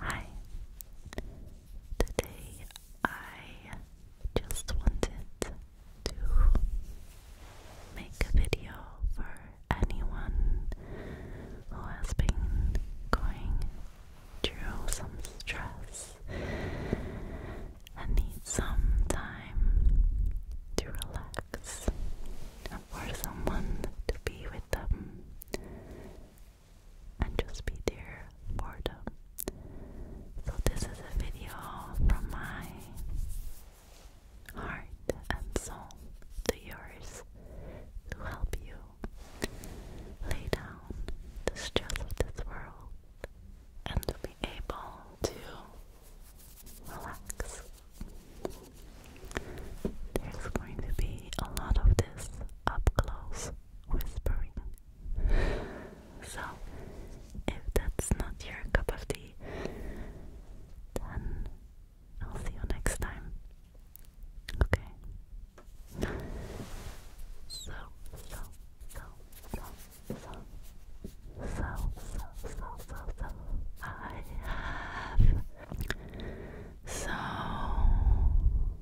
Hi. Today I just wanted to make a video for anyone who has been going through some stress and needs some time to relax and for someone to be with them and just be there for them. So, this is a video from my heart and soul to yours to help you lay down the stress of this world and to be able to relax. There's going to be a lot of this up close whispering. So, if that's not your cup of tea, then I'll see you next time. Okay? So, so, so, so, so, so, so, so, so, I have so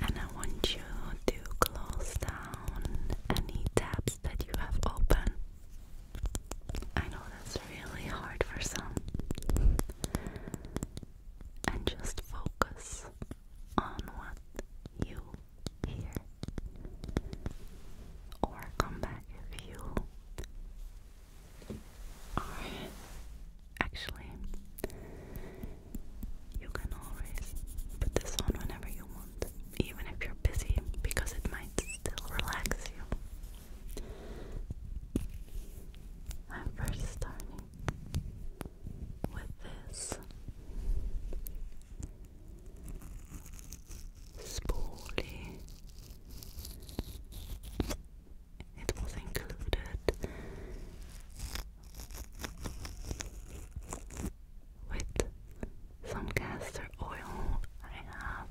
And I want you to close down any tabs that you have open. I know that's really hard for some. And just focus on what you hear. Or come back if you actually, you can always put this on whenever you want, even if you're busy, because it might still relax you. I'm first starting with this spoolie it was included with some castor oil I have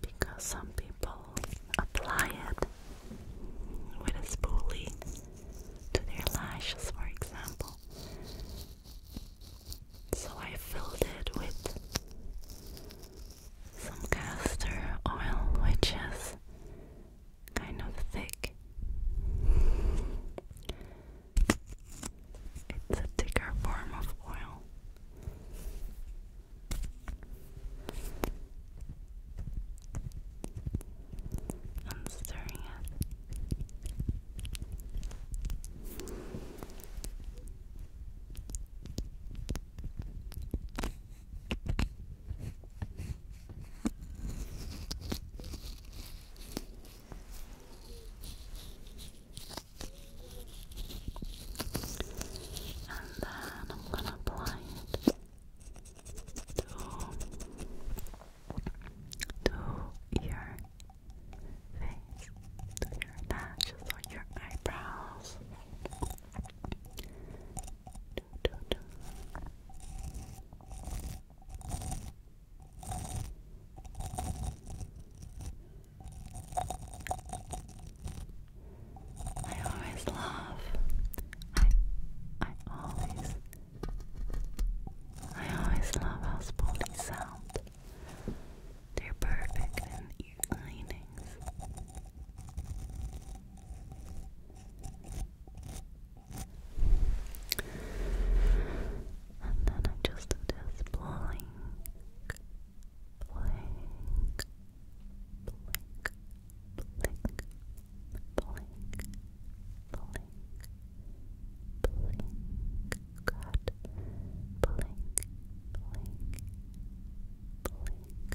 because some people apply it with a spoolie to their lashes, for example. So I filled it with some castor oil, which is kind of thick. It's a thicker form of oil. I'm stirring it. And then I'm going to apply it to, to your face, to your lashes or your eyebrows. I always love. I I always I always love how spoonies sound. They're perfect and your linings. And then I'm just just blowing, blink, blink, blink, blink, blink, blink, blink, blink, blink.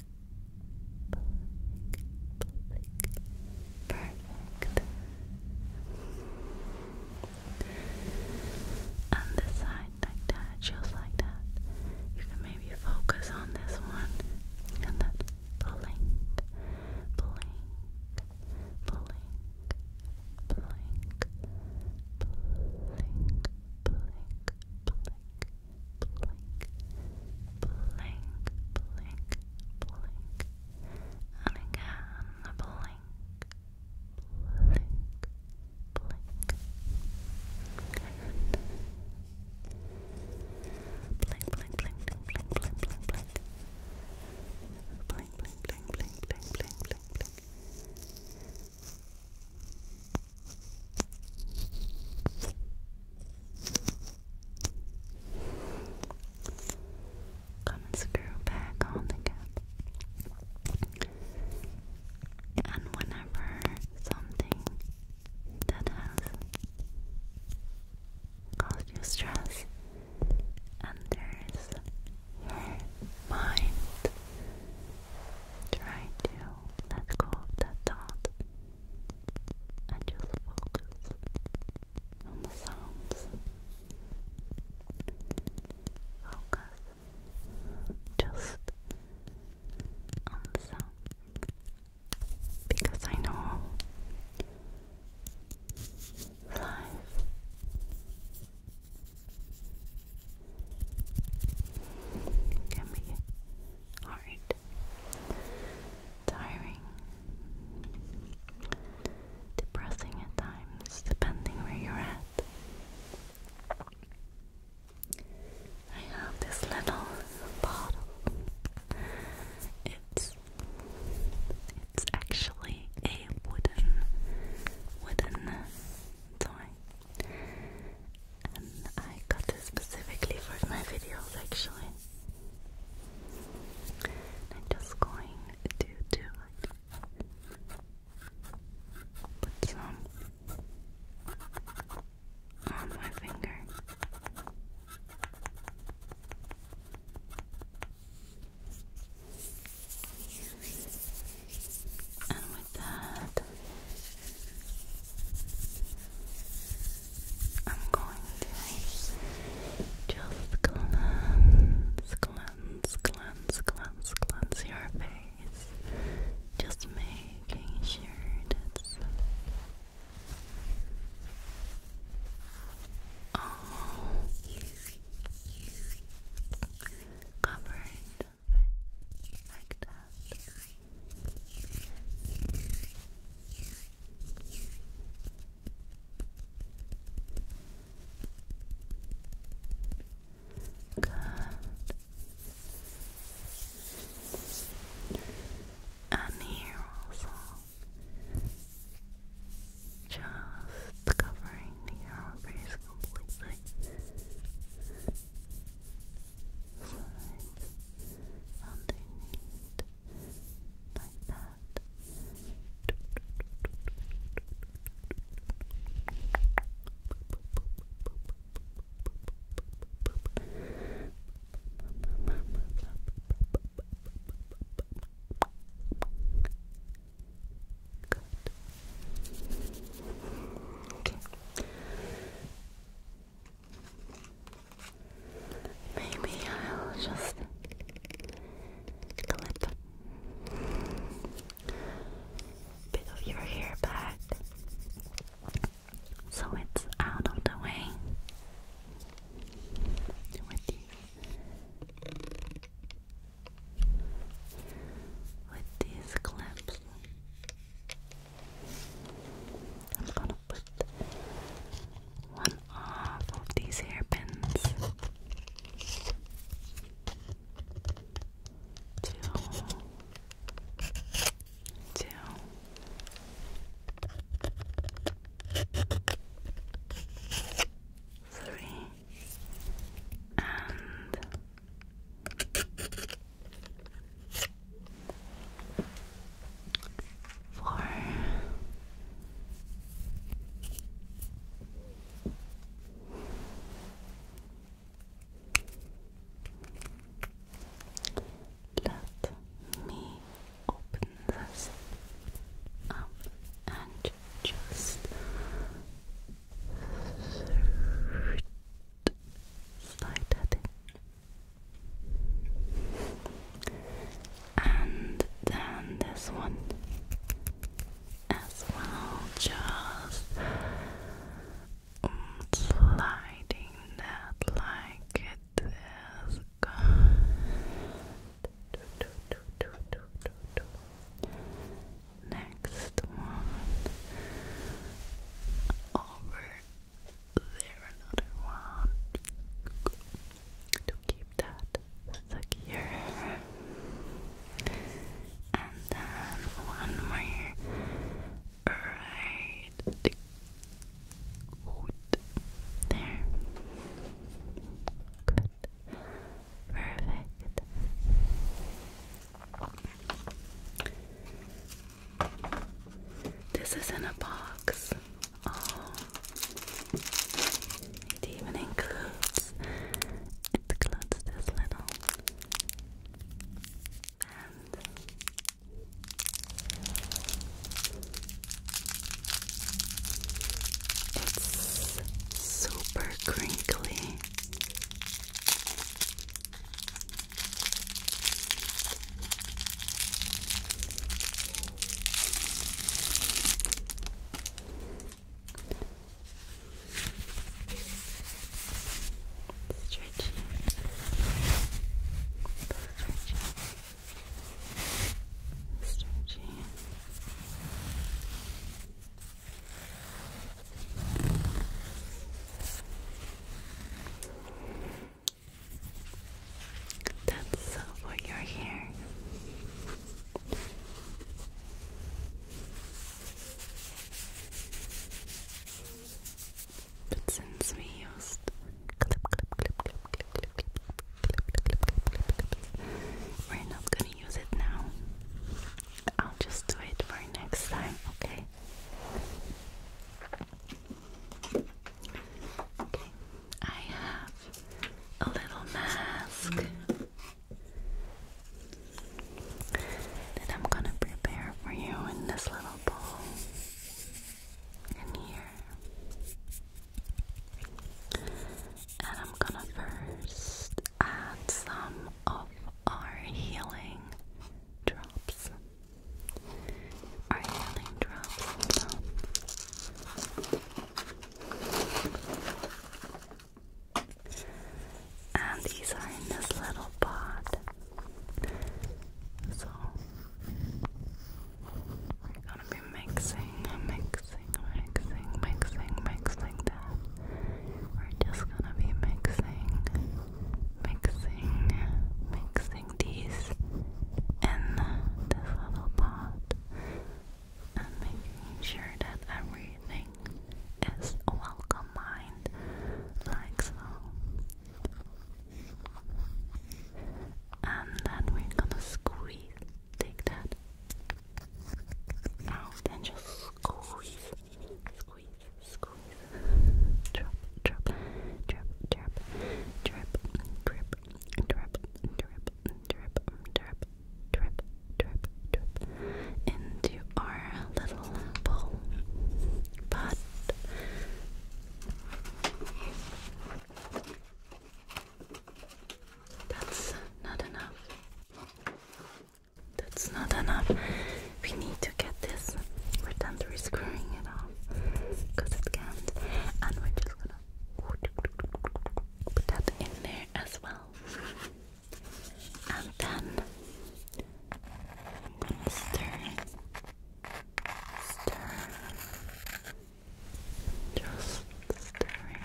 Perfect. On this side, like that, just like that. You can maybe focus on this one and then blink, blink, blink, blink, blink, blink, blink, blink, blink, blink, blink, and again the blink, blink, blink, blink, blink, blink, blink, blink, blink, blink, blink. Blink, blink, blink, blink, blink, blink, Come and screw back on the cap. And whenever something that has caused you stress enters your mind, try to let go of that thought and just focus on the sounds. Focus just on the sounds. Because I know life can be hard, tiring, depressing at times, depending where you're at. I have this little bottle. It's it's actually a wooden wooden toy. I got this specifically for my videos actually. I'm just going to do Put some on my finger. And with that, I'm going to just cleanse, cleanse, cleanse, cleanse, cleanse your face. Just making sure that's all covered like that. Good. And here also, just covering the arm completely sides, underneath, like that. Good. Okay. Maybe I'll just clip a bit of your hair back so it's out of the way with these, clips. I'm gonna put one off of these hairpins two two three and Four. Let me open this up and just slide that in and then this one as well, just sliding that like it is Next one over there another one to keep that secure. And then one more right Good. there. Good. Perfect. This is in a box. Oh, it even includes it includes this little band. It's super crinkly. Stretchy. Stretchy. Stretchy. That's for your hair. But since we used clip, clip, clip, clip, clip, clip, clip, clip, clip, clip, clip, we're not gonna use it now. I'll just do it for next time, okay? Okay, I have a little mask that I'm going to prepare for you in this little bowl in here. And I'm going to first add some of our healing drops. Are you drops And these are in this little pot. So we're gonna be mixing, mixing, mixing, mixing, mixing that. We're just gonna be mixing, mixing, mixing, placing these in this little pot and making sure that everything is well combined, like so. And then we're gonna squeeze, take that out and just squeeze, squeeze, squeeze, drop, drop, drop, drip, drip, drip, drip, drip, drip, drip, drip, drip, drip into our little pot. That's not enough. That's not enough. We need to get this. We're done screwing it off because it can And we're just gonna put that in there as well. And then I'm gonna stir, stir, just stirring,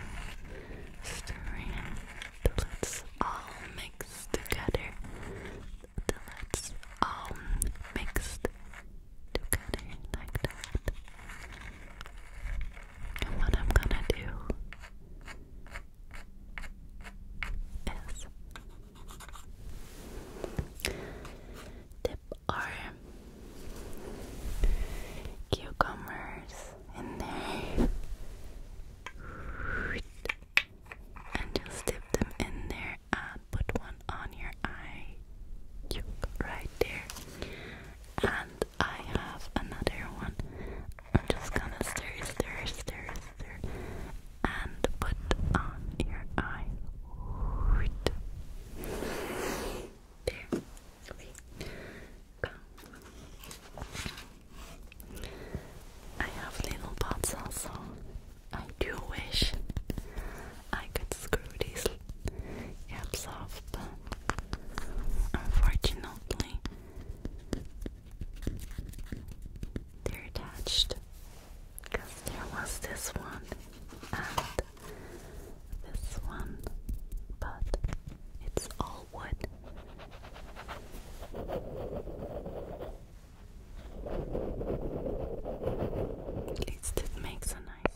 stirring till it's all mixed together. Till it's all mixed together like that. And what I'm gonna do is dip our cucumbers in there and just dip them in there and put one on your eye right there. And I have another one. I'm just gonna stir, stir, stir, stir, and put on your eye. There. Okay. I have little pots also I do wish I could screw these caps off, but unfortunately, they're attached. Because there was this one and this one, but it's all wood. At least it makes a nice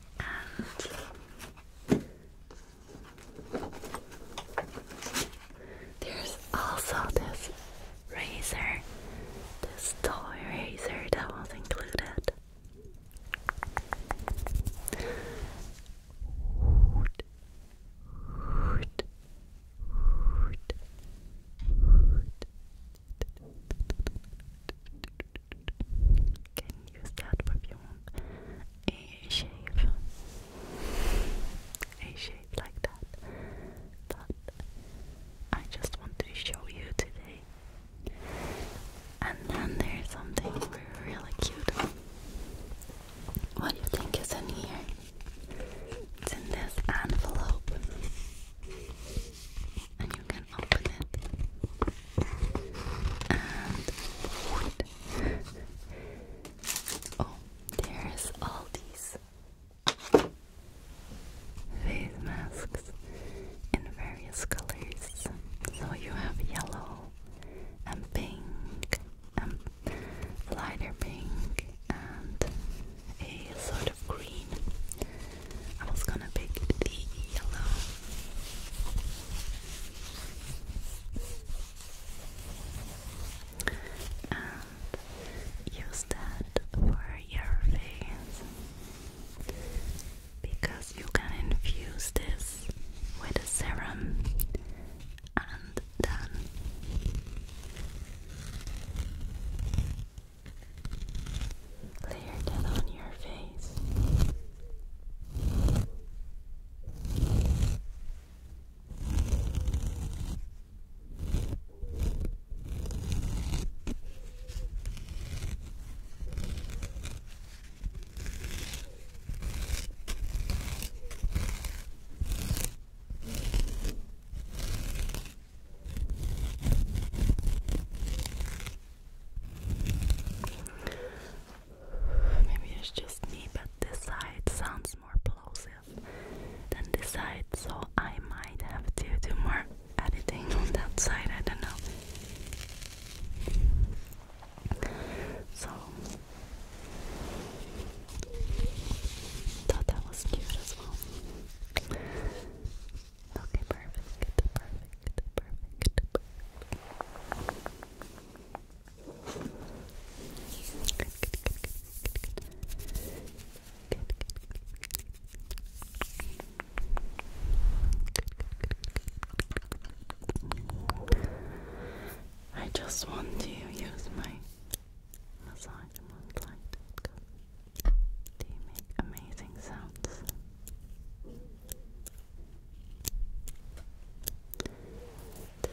there's also this razor, this toy razor that was included can use that perfume a shave a shave like that but I just wanted to show you today and then there's something really cute what do you think is in here? It's in this envelope and you can open it and oh there's all these face masks in various colors so you have yellow and pink and lighter pink and a sort of green I was gonna pick the yellow. And use that for your face because you can infuse this with serum and then Layer that on your face. Maybe it's just me, but this side sounds more plosive than this side, so I might have to do more editing on that side. I don't know. So, thought that was cute as well. Okay, perfect, perfect, perfect, perfect. Good, good, good, good, good, good. Good, good, good, good. I just want to use my massage light. They make amazing sounds.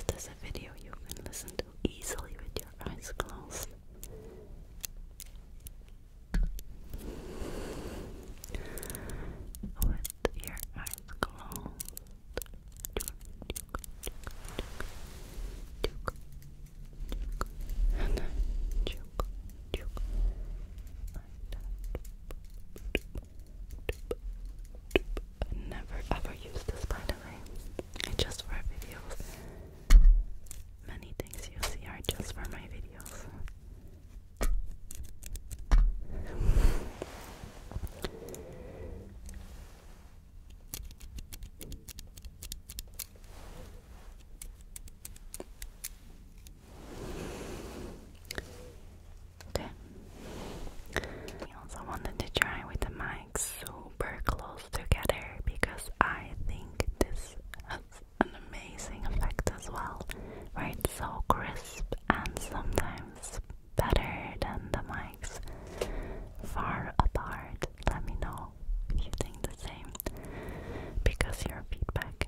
This is a video you can listen to easily with your eyes closed. With your eyes closed. I never ever use this by the way. It's just for videos. Many things you see are just for my videos. Okay. I also wanted to try with the mic super close together because I think this has an amazing effect as well, where it's so crisp and sometimes better than the mics far apart. Let me know if you think the same because your feedback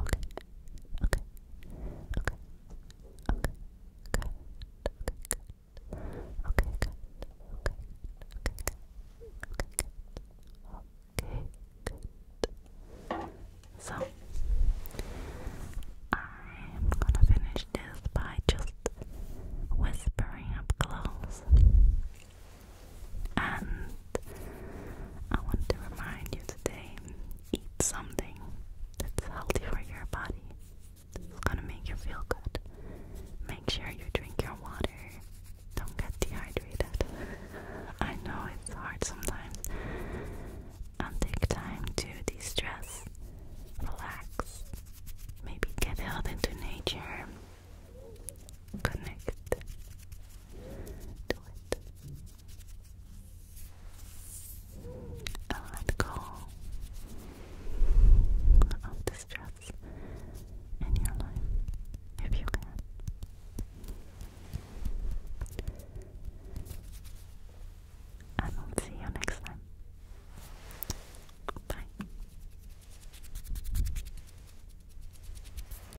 Okay. Okay. Okay. Okay. Good. Okay. Good. Okay. Good. Okay. Good. Okay. Okay. Okay. So I'm gonna finish this by just whispering up close. And I want to remind you today eat something that's healthy for your body. It's gonna make you feel good. Make sure you drink your water. Don't get dehydrated. I know it's hard sometimes. And take time to de stress, relax, maybe get out into nature connect to it let go of the stress in your life if you can. I will see you next time. Bye.